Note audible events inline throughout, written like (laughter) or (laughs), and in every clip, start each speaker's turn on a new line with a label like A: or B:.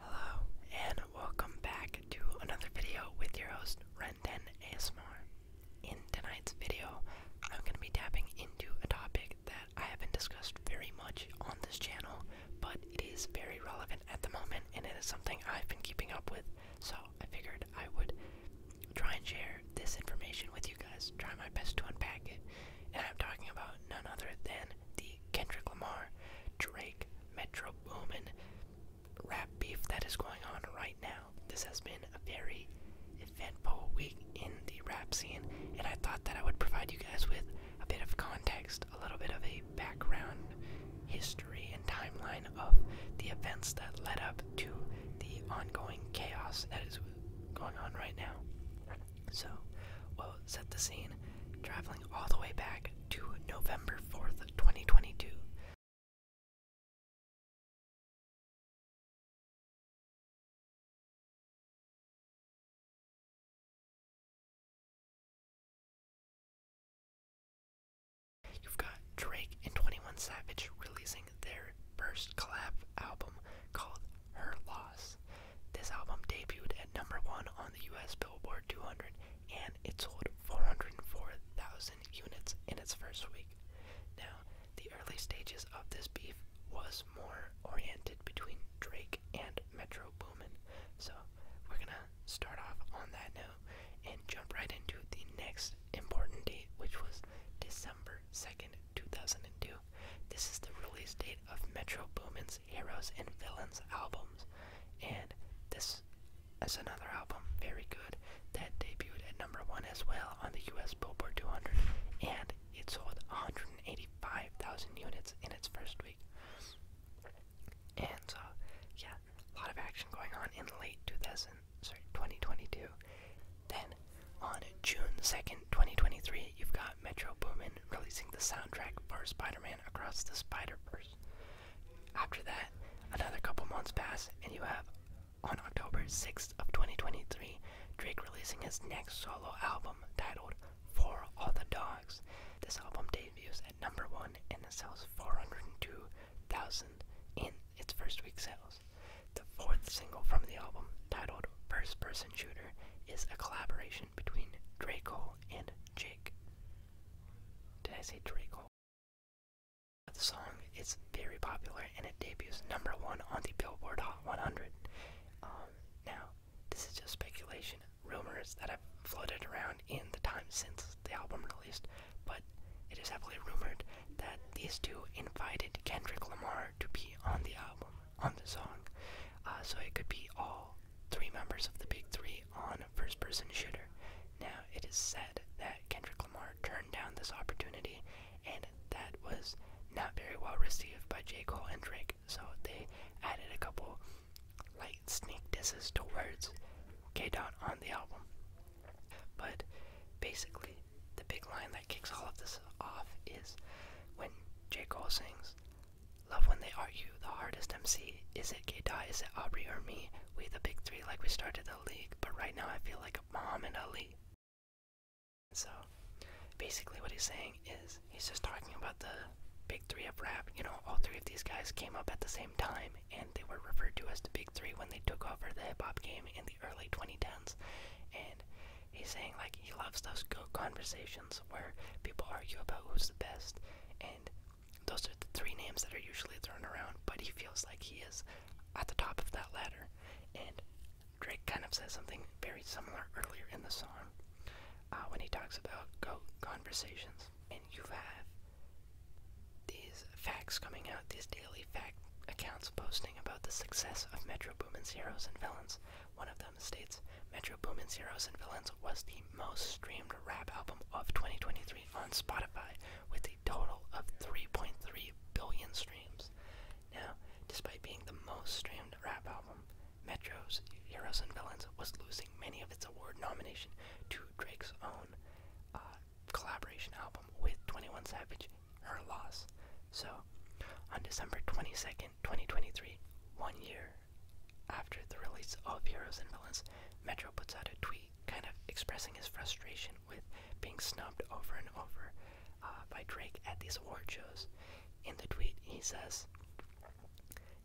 A: Hello, and welcome back to another video with your host, Renton ASMR. In tonight's video, I'm going to be tapping into a topic that I haven't discussed very much on this channel, but it is very relevant at the moment, and it is something I've been keeping up with, so I figured I would try and share this information with you guys, try my best to unpack it, and I'm talking about none other than the Kendrick Lamar, Drake, Metro Boomin, rap beef that is going on right now. This has been a very eventful week in the rap scene, and I thought that I would provide you guys with a bit of context, a little bit of a background history and timeline of the events that led up to the ongoing chaos that is going on right now. So, we'll set the scene, traveling all the way back to November 4th, 2022. You've got Drake and 21 Savage releasing their first collab album called Her Loss. This album debuted at number one on the US Billboard 200 and it sold 404,000 units in its first week. Now, the early stages of this beef was more oriented between Drake and Metro Boomin, so we're gonna start off on that note and jump right into the next important date, which was December 2nd, 2002. This is the release date of Metro Boomin's Heroes and Villains albums, and this is another album, very good, that debuted at number one as well on the US Billboard 200, and it sold 185,000 units in its first week. And so, uh, yeah, a lot of action going on in late 2000, sorry, 2022. Then on June 2nd, 2023, you've got Metro Boomin releasing the soundtrack for Spider-Man Across the Spider-Verse. After that, another couple months pass, and you have on October 6th of 2023, Drake releasing his next solo album titled For All the Dogs. This album debuts at number one and it sells 402,000 in its first week sales. The fourth single from the album, titled First Person Shooter, is a collaboration between Drake and and Jake. Did I say Draco? The song is very popular and it debuts number one on the Billboard Hot 100. Um, now, this is just speculation, rumors that have floated around in the time since the album released, but it is heavily rumored that these two invited Kendrick Lamar to be on the album, on the song. Uh, so it could be all three members of the Big Three on first person shooter. Now, it is said that Kendrick Lamar turned down this opportunity, and that was not very well received by J. Cole and Drake, so they added a couple light sneak disses towards words K. Dot on the album. But basically, the big line that kicks all of this off is when J. Cole sings, Love when they argue. The hardest MC is it Keita, is it Aubrey or me? We the big three like we started the league, but right now I feel like a mom and a Ali. So basically what he's saying is he's just talking about the big three of rap. You know, all three of these guys came up at the same time and they were referred to as the big three when they took over the hip hop game in the early 2010s. And he's saying like he loves those conversations where people argue about who's the best, and those are the three names that are usually thrown around, but he feels like he is at the top of that ladder. And Drake kind of says something very similar earlier in the song uh, when he talks about go conversations. And you have these facts coming out, these daily fact accounts posting about the success of Metro Boomin's Heroes and Villains. One of them them states Metro Boomin's Heroes and Villains was the most streamed rap album of 2023 on Spotify, with a total of 3.3 billion streams. Now, despite being the most streamed rap album, Metro's Heroes and Villains was losing many of its award nomination to Drake's own uh, collaboration album with 21 Savage, Her Loss. So, on December 22nd, 2023, one year after the release of Heroes and Villains, Metro puts out a tweet kind of expressing his frustration with being snubbed over and over uh, by Drake at these award shows. In the tweet, he says,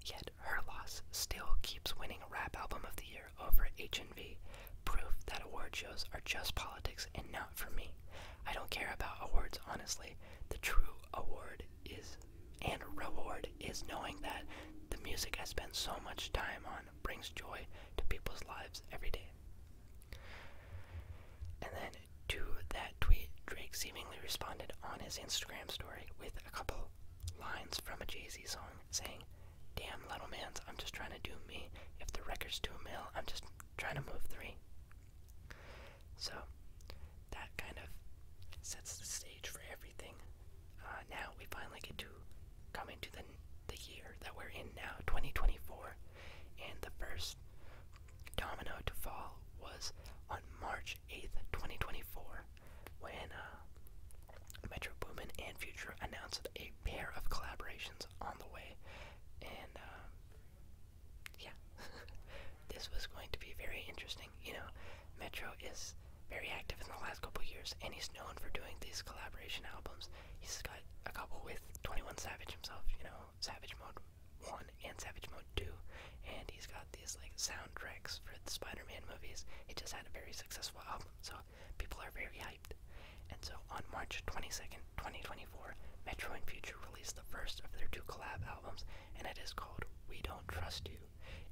A: Yet Her Loss still keeps winning a Rap Album of the Year over H&V, proof that award shows are just politics and not for me. I don't care about awards, honestly. The true award is and reward is knowing that the music I spend so much time on brings joy to people's lives every day. And then to that tweet, Drake seemingly responded on his Instagram story with a couple lines from a Jay Z song saying, Damn, little man's, I'm just trying to do me. If the record's two mil, I'm just trying to move three. So that kind of sets the stage for everything. Uh, now we finally get to come into the the year that we're in now, 2024, and the first domino to fall was on March 8th, 2024, when uh, Metro Boomin and Future announced a pair of collaborations on the way, and uh, yeah, (laughs) this was going to be very interesting. You know, Metro is very active in the last couple years, and he's known for doing these collaboration albums. He's got a couple with 21 Savage himself, you know, Savage Mode 1 and Savage Mode 2, and he's got these like soundtracks for the Spider Man movies. He just had a very successful album, so people are very hyped. And so on March 22nd, 2024, Metro and Future released the first of their two collab albums, and it is called We Don't Trust You.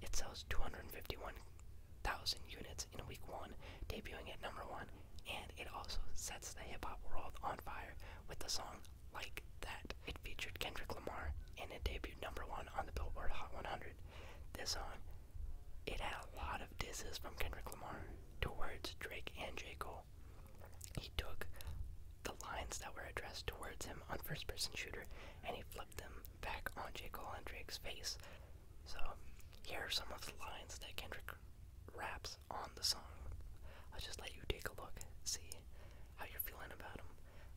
A: It sells 251,000 units in week one, debuting at number one, and it also sets the hip hop world on fire with the song Like That. It featured Kendrick Lamar, and it debuted number one on the Billboard Hot 100. This song, it had a lot of disses from Kendrick Lamar towards Drake and Jay Cole. He took the lines that were addressed towards him on First Person Shooter and he flipped them back on J. Cole and Drake's face. So, here are some of the lines that Kendrick raps on the song. I'll just let you take a look, see how you're feeling about them.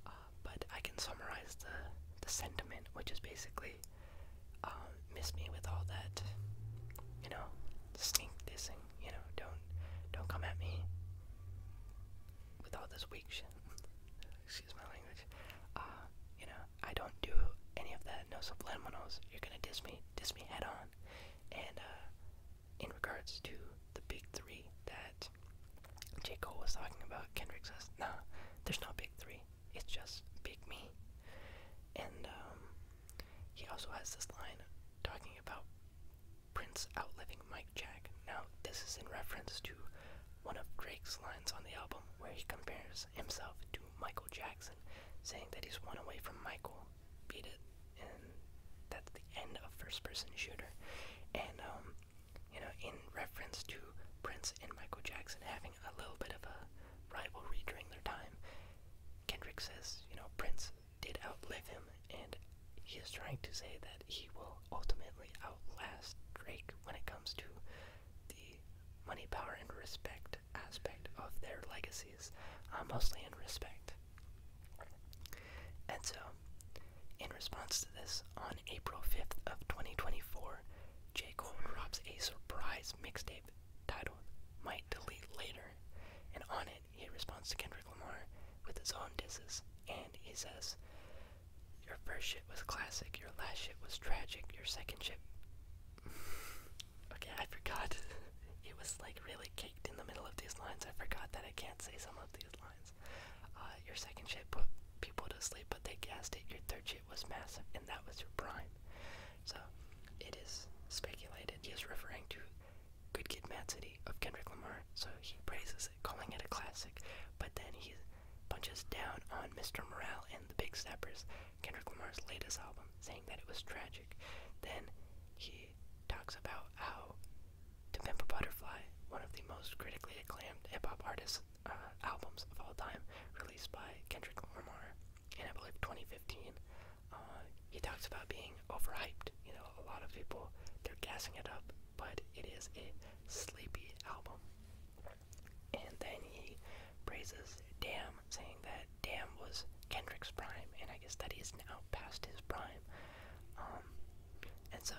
A: Uh, but I can summarize the, the sentiment, which is basically uh, miss me with all that, you know, sneak dissing you know, don't don't come at me with all this weak shit. (laughs) Excuse my language. Uh, you know, I don't do any of that. No subliminals. You're gonna diss me, diss me head on. And uh, in regards to the big three that J. Cole was talking about, Kendrick says, "No, there's no big three. It's just big me." And um, he also has this line talking about Prince outliving Mike Jackson. Now, this is in reference to one of Drake's lines on the album where he compares himself to Michael Jackson, saying that he's one away from Michael. Beat it. And that's the end of First Person Shooter. And, um, you know, in reference to Prince and Michael Jackson having a little bit of a rivalry during their time, Kendrick says, you know, Prince did outlive him, and he is trying to say that he will ultimately outlast Drake when it comes to the money, power, and respect aspect of their legacies, uh, mostly in respect. And so, in response to this, on April 5th of 2024, J. Cole drops a surprise mixtape titled Might Delete Later, and on it he responds to Kendrick Lamar with his own disses, and he says, Your first shit was classic, your last shit was tragic, your second shit. (laughs) okay, I forgot. (laughs) it was like really caked in the middle of these lines. I forgot that I can't say some of these lines. Uh, your second shit put people to sleep, but they gassed it. Your third shit was massive, and that was your prime. So, it is speculated he is referring to Good Kid, Mad City of Kendrick Lamar. So he praises it, calling it a classic. But then he punches down on Mr. Morale and the Big Steppers, Kendrick Lamar's latest album, saying that it was tragic. Then he talks about how To Pimp a Butterfly, one of the most critically acclaimed hip hop artists uh, albums of all time, released by Kendrick Lamar in I believe 2015, uh, he talks about being overhyped. You know, a lot of people they're gassing it up, but it is a sleepy album. And then he praises Damn, saying that Damn was Kendrick's prime, and I guess that he's now past his prime. Um, and so,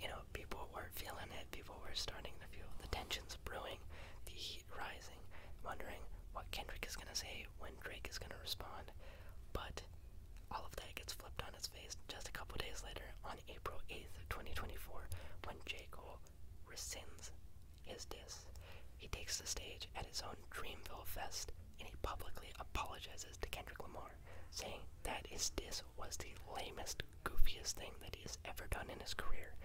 A: you know, people were feeling it, people were starting to feel the tensions brewing, the heat rising, wondering what Kendrick is gonna say, when Drake is gonna respond. But all of that gets flipped on his face just a couple days later on April 8th, 2024, when J. Cole rescinds his diss. He takes the stage at his own Dreamville Fest and he publicly apologizes to Kendrick Lamar, saying that his diss was the lamest, goofiest thing that he has ever done in his career.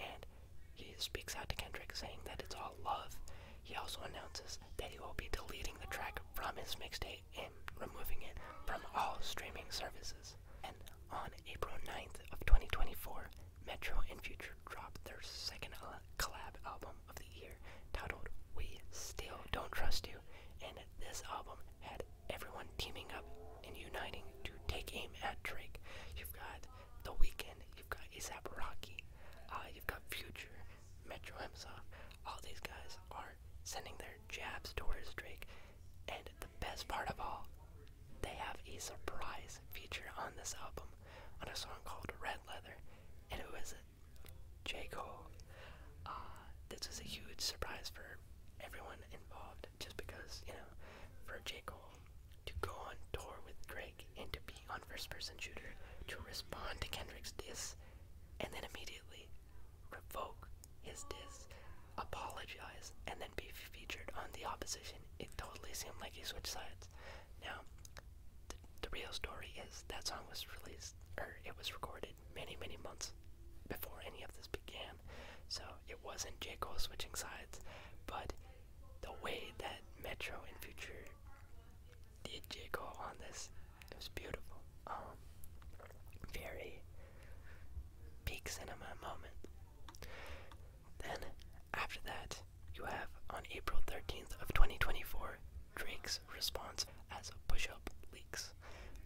A: And he speaks out to Kendrick saying that it's all love he also announces that he will be deleting the track from his mixtape and removing it from all streaming services. And on April 9th of 2024, Metro and Future dropped their second collab album of the year titled We Still Don't Trust You, and this album had everyone teaming up and uniting to take aim at Drake. You've got The Weeknd, you've got ASAP Rocky, uh, you've got Future, Metro himself. All these guys are sending their jabs towards Drake. And the best part of all, they have a surprise feature on this album on a song called Red Leather. And it was J. Cole. Uh, this is a huge surprise for everyone involved just because, you know, for J. Cole to go on tour with Drake and to be on first person shooter to respond to Kendrick's diss and then immediately revoke his diss, apologize, and then be featured on the opposition. It totally seemed like he switched sides. Now, the, real story is that song was released, or it was recorded many, many months before any of this began. So it wasn't J. Cole switching sides, but the way that Metro in Future DJ call on this. It was beautiful. Um, very peak cinema moment. Then after that, you have on April 13th of 2024, Drake's response as a push-up leaks.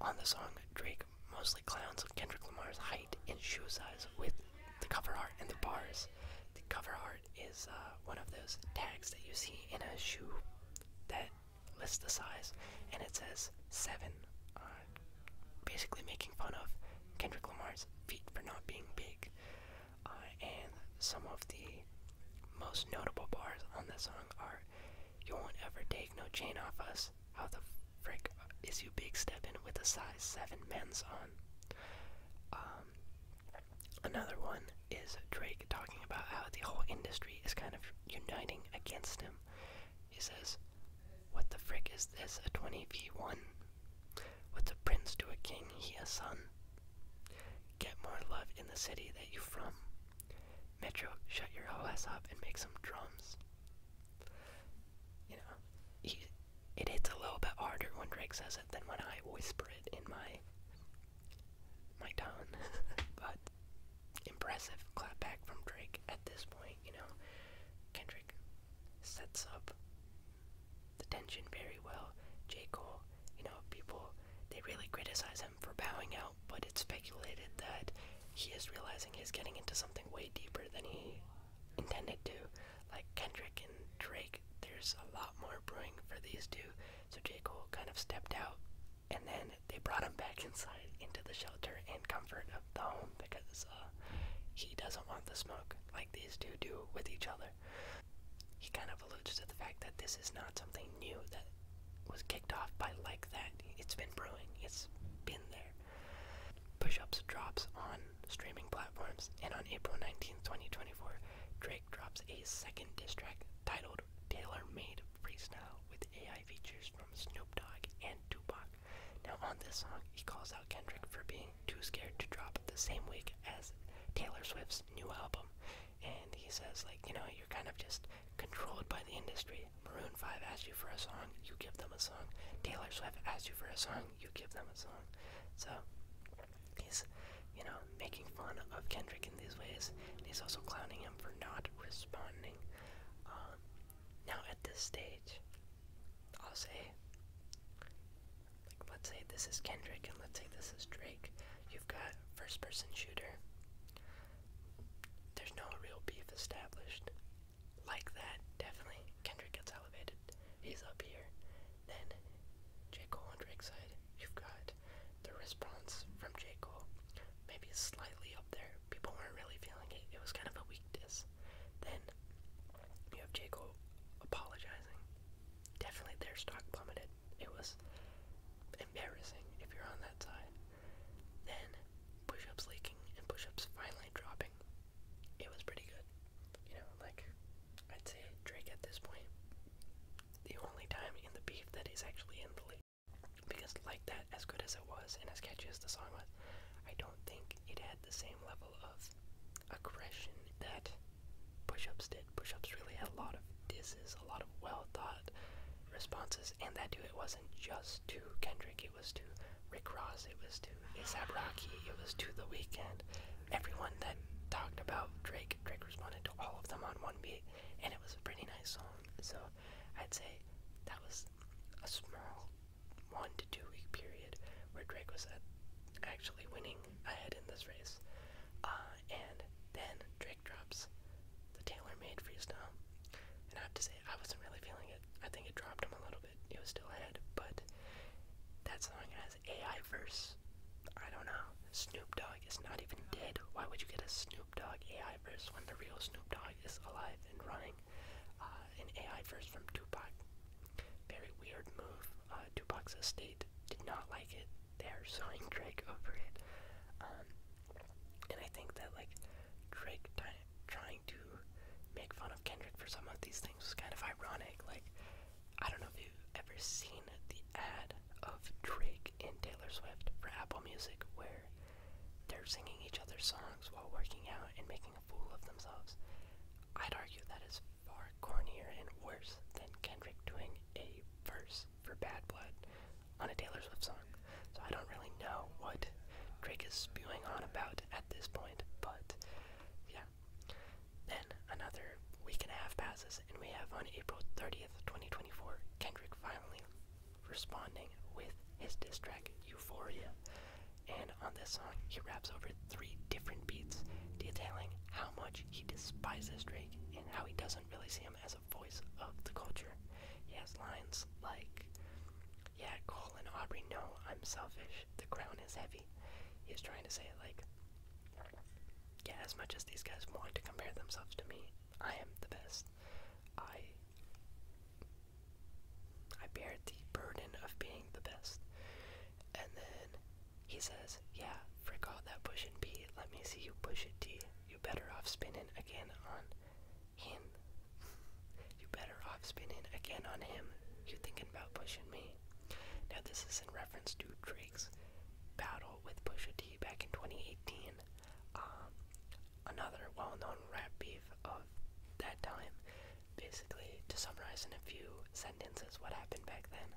A: On the song, Drake mostly clowns Kendrick Lamar's height and shoe size with the cover art and the bars. The cover art is uh, one of those tags that you see in a shoe that lists the size, and it says seven, uh, basically making fun of Kendrick Lamar's feet for not being big. Uh, and some of the most notable bars on the song are "You won't ever take no chain off us." How the frick is you big steppin' with a size seven men's on? Um, another one is Drake talking about how the whole industry is kind of uniting against him. He says, What the frick is this, a 20v1? What's a prince to a king, he a son? Get more love in the city that you from. Metro, shut your whole ass up and make some drums. You know, it hits a little bit harder when Drake says it than when I whisper it in my my Don, (laughs) but impressive clapback from Drake at this point, you know. Kendrick sets up the tension very well. J. Cole, you know, people, they really criticize him for bowing out, but it's speculated that he is realizing he's getting into something way deeper than he intended to. Like, Kendrick and Drake there's a lot more brewing for these two. So J. Cole kind of stepped out and then they brought him back inside into the shelter and comfort of the home because uh, he doesn't want the smoke like these two do with each other. He kind of alludes to the fact that this is not something new that was kicked off by like that. It's been brewing, it's been there. Push Ups drops on streaming platforms, and on April 19, 2024, Dre drops a second diss track titled Tailor Made Freestyle with AI features from Snoop Dogg and Tupac. Now, on this song, he calls out Kendrick for being too scared to drop the same week as Taylor Swift's new album. And he says, like, you know, you're kind of just controlled by the industry. Maroon 5 asked you for a song, you give them a song. Taylor Swift asked you for a song, you give them a song. So, He's, you know, making fun of Kendrick in these ways, and he's also clowning him for not responding. Um, now, at this stage, I'll say, like, let's say this is Kendrick and let's say this is Drake. You've got first person shooter. There's no real beef established. Like that, definitely. Kendrick gets elevated. He's up here. Then J. Cole on Drake's side, you've got the response from J. Cole. Maybe slightly up there. People weren't really feeling it. It was kind of a weak diss. Then you have J. Cole apologizing. Definitely their stock plummeted. It was embarrassing if you're on that side. Then push ups leaking and push ups finally dropping. It was pretty good you know, like I'd say Drake at this point, the only time in the beef that is actually in the lead, Because, like that, as good as it was and as catchy as the song was, I don't think it had the same level of aggression that push ups did. Push ups really had a lot of disses, a lot of well thought responses, and that too, it wasn't just to Kendrick, it was to Rick Ross, it was to ASAP Rocky, it was to The Weeknd, Everyone that talked about Drake, Drake responded to all of them on one beat, and it was a pretty nice song. So I'd say that was a small one to two week period where Drake was actually winning ahead in this race. Uh, and then Drake drops the Taylor Made freestyle. And I have to say, I wasn't really feeling it. I think it dropped him a little bit. It was still ahead, but that song I as AI verse. I don't know. Snoop Dogg is not even dead. Why would you get a Snoop Dogg AI verse when the real Snoop Dogg is alive and running? Uh, an AI verse from Tupac. Very weird move. Uh, Tupac's estate did not like it. They are suing (laughs) Drake over it. Um, and I think that like Drake trying to make fun of Kendrick for some of these things was kind of ironic. Like I don't know if you've ever seen the ad of Drake and Taylor Swift for Apple Music where they're singing each other's songs while working out and making a fool of themselves. I'd argue that is far cornier and worse than Kendrick doing a verse for Bad Blood on a Taylor Swift song. So I don't really know what Drake is spewing on about at this point, but yeah. Then another week and a half passes, and we have on April 30th, 2024, Kendrick finally responding with his diss track Euphoria. And on this song, he raps over three different beats, detailing how much he despises Drake and how he doesn't really see him as a voice of the culture. He has lines like, Yeah, Cole and Aubrey know I'm selfish, the crown is heavy. He was trying to say, it like, yeah, as much as these guys want to compare themselves to me, I am the best. I I bear the burden of being the best. And then he says, Yeah, frick all that pushing B, let me see you push it D. You better off spinning again on him. (laughs) you better off spinning again on him. You thinking about pushing me. Now, this is in reference to Drake's battle with Pusha T back in 2018. Um, another well known rap beef of that time. Basically, to summarize in a few sentences what happened back then,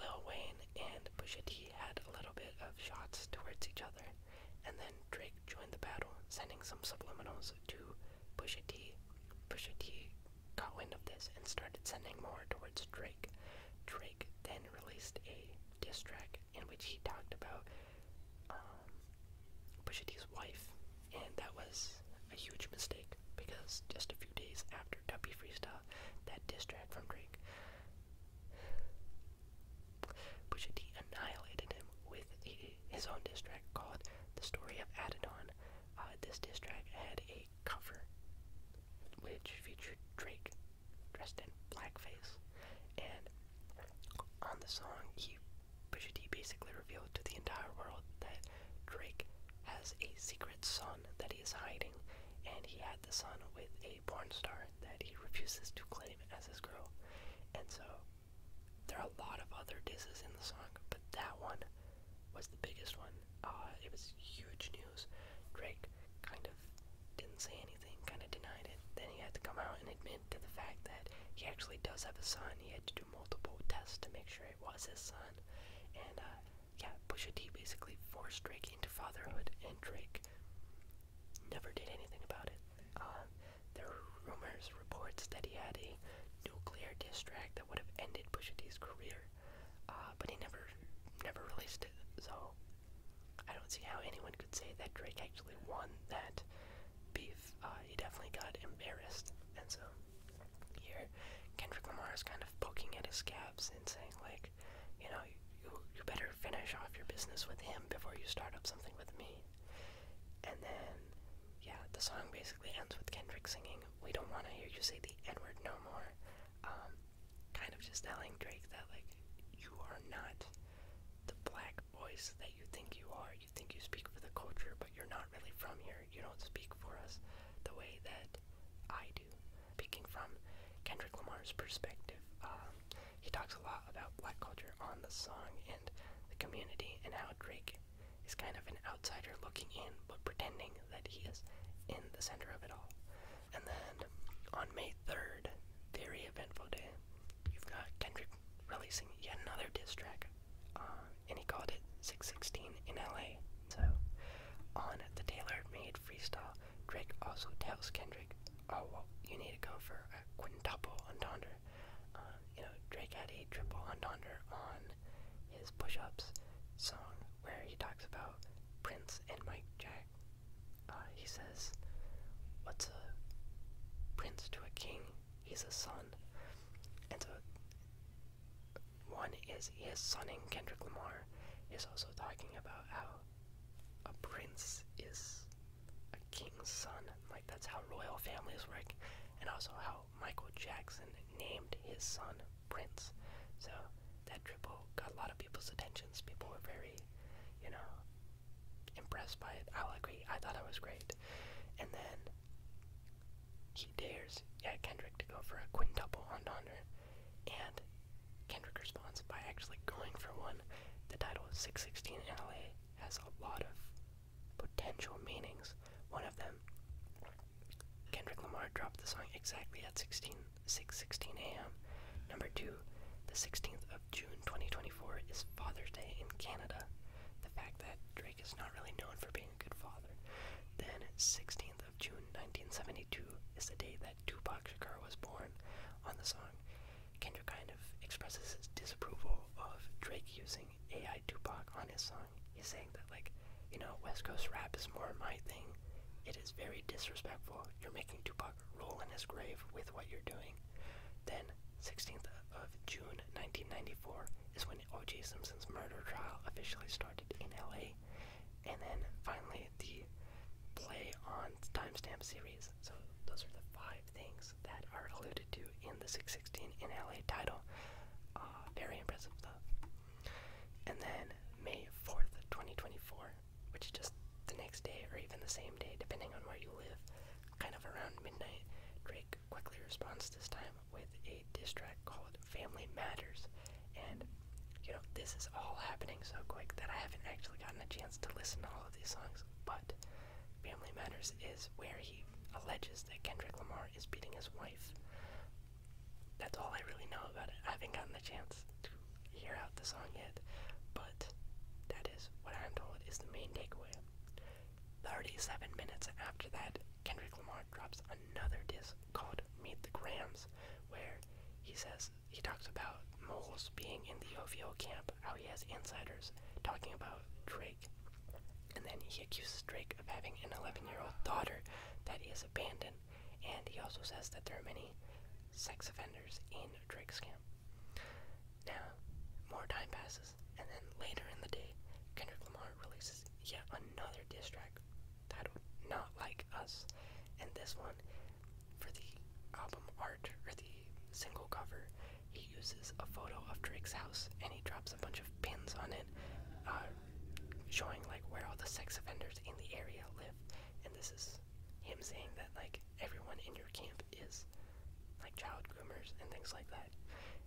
A: Lil Wayne and Pusha T had a little bit of shots towards each other, and then Drake joined the battle, sending some subliminals to Pusha T. Pusha T got wind of this and started sending more towards Drake. Drake then released a diss track in which he talked about um, Pusha T's wife, and that was a huge mistake because just a few days after Tuppy Freestyle, that diss track from Drake, Pusha T annihilated him with his own diss track called "The Story of Adidon," Uh, this diss track had a cover which featured Drake dressed in blackface, and on the song, he Pusha T basically revealed to the entire world that Drake has a secret son that he is hiding, and he had the son with a porn star that he refuses to claim as his girl, and so there are a lot of other disses in the song, but that one was the biggest one. Uh, it was huge news. Drake kind of didn't say anything, kind of denied it. Then he had to come out and admit to the fact that he actually does have a son. He had to do multiple tests to make sure it was his son. And uh, yeah, Pusha T basically forced Drake into fatherhood, and Drake never did anything about it. Uh, there were rumors reports that he had nuclear diss track that would have ended Pusha career, uh, but he never, never released it. So I don't see how anyone could say that Drake actually won that beef. Uh, he definitely got embarrassed, and so here Kendrick Lamar is kind of poking at his scabs and saying like, you know, you you better finish off your business with him before you start up something with me. And then, yeah, the song basically basically with Kendrick singing, We don't want to hear you say the N word no more. Um, kind of just telling Drake that, like, you are not the black voice that you think you are. You think you speak for the culture, but you're not really from here. You don't speak for us the way that I do. Speaking from Kendrick Lamar's perspective, um, he talks a lot about black culture on the song and the community and how Drake is kind of an outsider looking in, but pretending that he is in the center of it all. And then on May 3rd, very eventful day, you've got Kendrick releasing yet another diss track, uh, and he called it 616 in LA. So on the Taylor Made freestyle, Drake also tells Kendrick, oh, well, you need to go for a quintuple entendre. Uh, you know, Drake had a triple entendre on his push ups song where he talks about Prince and Mike Jack. Uh, he says, What's a prince to a king? He's a son. And so, one is his son. And Kendrick Lamar, is also talking about how a prince is a king's son. Like, that's how royal families work, and also how Michael Jackson named his son Prince. So that triple got a lot of people's attentions. People were very, you know, impressed by it. I'll agree. I thought it was great. And then he dares yeah, Kendrick to go for a quintuple on entendre. And Kendrick responds by actually going for one. The title 616 in LA has a lot of potential meanings. One of them, Kendrick Lamar dropped the song exactly at 16, 16 a.m. Number two, the 16th of June 2024 is Father's Day in Canada. The fact that Drake is not really known for being a good father. Then, 16th of June 1972 is the date that Tupac Shakur was born. On the song, Kendrick kind of expresses his disapproval of Drake using AI Tupac on his song. He's saying that like, you know, West Coast rap is more my thing. It is very disrespectful. You're making Tupac roll in his grave with what you're doing. Then 16th of June 1994 is when O.J. Simpson's murder trial officially started in LA. And then finally the play on timestamp series. So those are the five things that are alluded to in the 616 in LA title. Uh, very impressive stuff. And then May 4th, 2024, which is just the next day or even the same day, depending on where you live, kind of around midnight, Drake quickly responds this time with a diss track called Family Matters. And, you know, this is all happening so quick that I haven't actually gotten a chance to listen to all of these songs, but Family Matters is where he alleges that Kendrick Lamar is beating his wife. That's all I really know about it. I haven't gotten the chance to hear out the song yet, but that is what I'm told is the main takeaway. 37 minutes after that, Kendrick Lamar drops another disc called Meet the Grams, where he says he talks about moles being in the OVO camp, how he has insiders talking about Dre and then he accuses Drake of having an 11 year old daughter that he has abandoned, and he also says that there are many sex offenders in Drake's camp. Now, more time passes, and then later in the day, Kendrick Lamar releases yet another diss track titled Not Like Us, and this one for the album art or the single cover he uses a photo of Drake's house and he drops a bunch of pins on it, uh, showing like where all the sex offenders in the area live. And this is him saying that like everyone in your camp is like child groomers and things like that.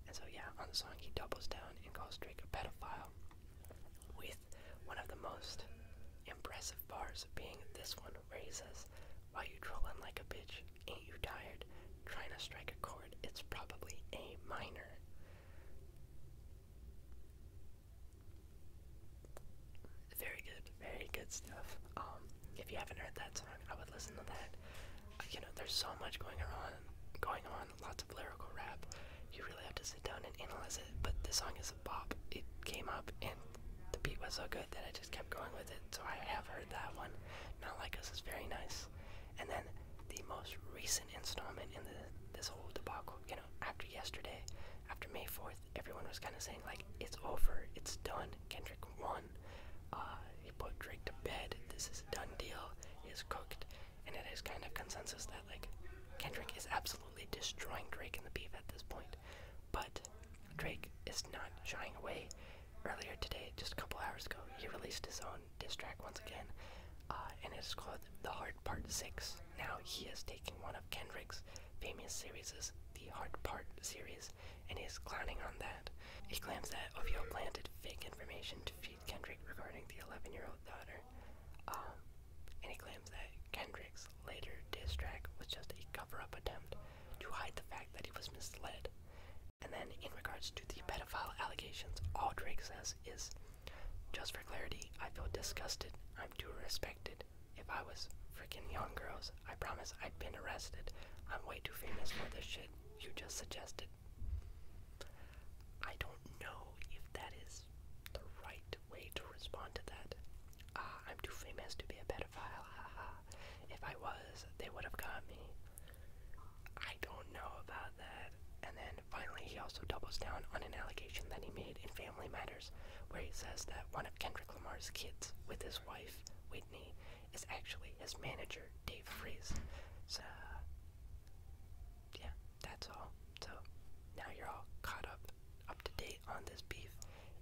A: And so yeah, on the song he doubles down and calls Drake a pedophile with one of the most impressive bars being this one where he says, why you trolling like a bitch? Ain't you tired? Trying to strike a chord. It's probably A minor. Very good, very good stuff. Um, if you haven't heard that song, I would listen to that. Uh, you know, there's so much going on, going on, lots of lyrical rap. You really have to sit down and analyze it. But this song is a bop. It came up, and the beat was so good that I just kept going with it. So I have heard that one. Not Like Us is very nice. And then the most recent installment in this whole debacle, you know, after yesterday, after May 4th, everyone was kind of saying, like, it's over, it's done. Kendrick won. Uh, he put Drake to bed. This is a done deal. He cooked. And it is kind of consensus that, like, Kendrick is absolutely destroying Drake in the beef at this point. But Drake is not shying away earlier today, just a couple hours ago, he released his own diss track once again, uh, and it's called The Hard Part 6. Now he is taking one of Kendrick's famous series, the Hard Part series, and he's clowning on that. He claims that OVO planted fake information to feed Kendrick regarding the 11 year old daughter, um, and he claims that Kendrick's later diss track was just a cover up attempt to hide the fact that he was misled. And then, in regards to the pedophile allegations, all Drake says is just for clarity, I feel disgusted. I'm too respected. If I was freaking young girls, I promise I'd been arrested. I'm way too famous for this shit you just suggested. I don't know if that is the right way to respond to that. Ah, I'm too famous to be a pedophile, haha. if I was, they would have got me. I don't know about that. And then finally, he also doubles down on an allegation that he made in Family Matters, where he says that one of Kendrick Lamar's kids with his wife, Whitney, is actually his manager, Dave Freeze. So, yeah, that's all. So, now you're all caught up, up to date on this beef.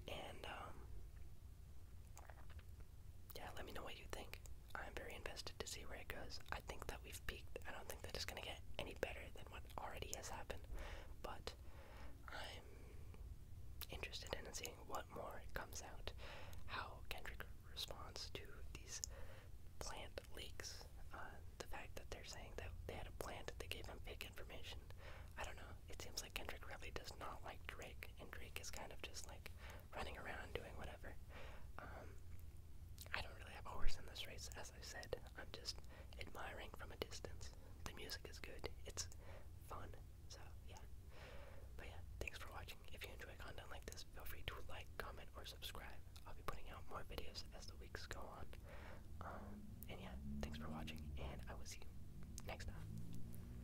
A: And, um, yeah, let me know what you think. I'm very invested to see where it goes. I think that we've peaked. I don't think that it's going to get any better than what already has happened, but I'm interested in seeing what more comes out, how Kendrick responds to these plant leaks, uh, the fact that they're saying that they had a plant, they gave him fake information. I don't know. It seems like Kendrick really does not like Drake, and Drake is kind of just like running around doing whatever. Um, I don't really have a horse in this race, as I said. I'm just admiring from a distance. The music is good. It's fun. So yeah. But yeah, thanks for watching. If you enjoy content like this, feel free to like, comment, or subscribe. I'll be putting out more videos as the weeks go on. Um, and yeah, thanks for watching, and I will see you next time.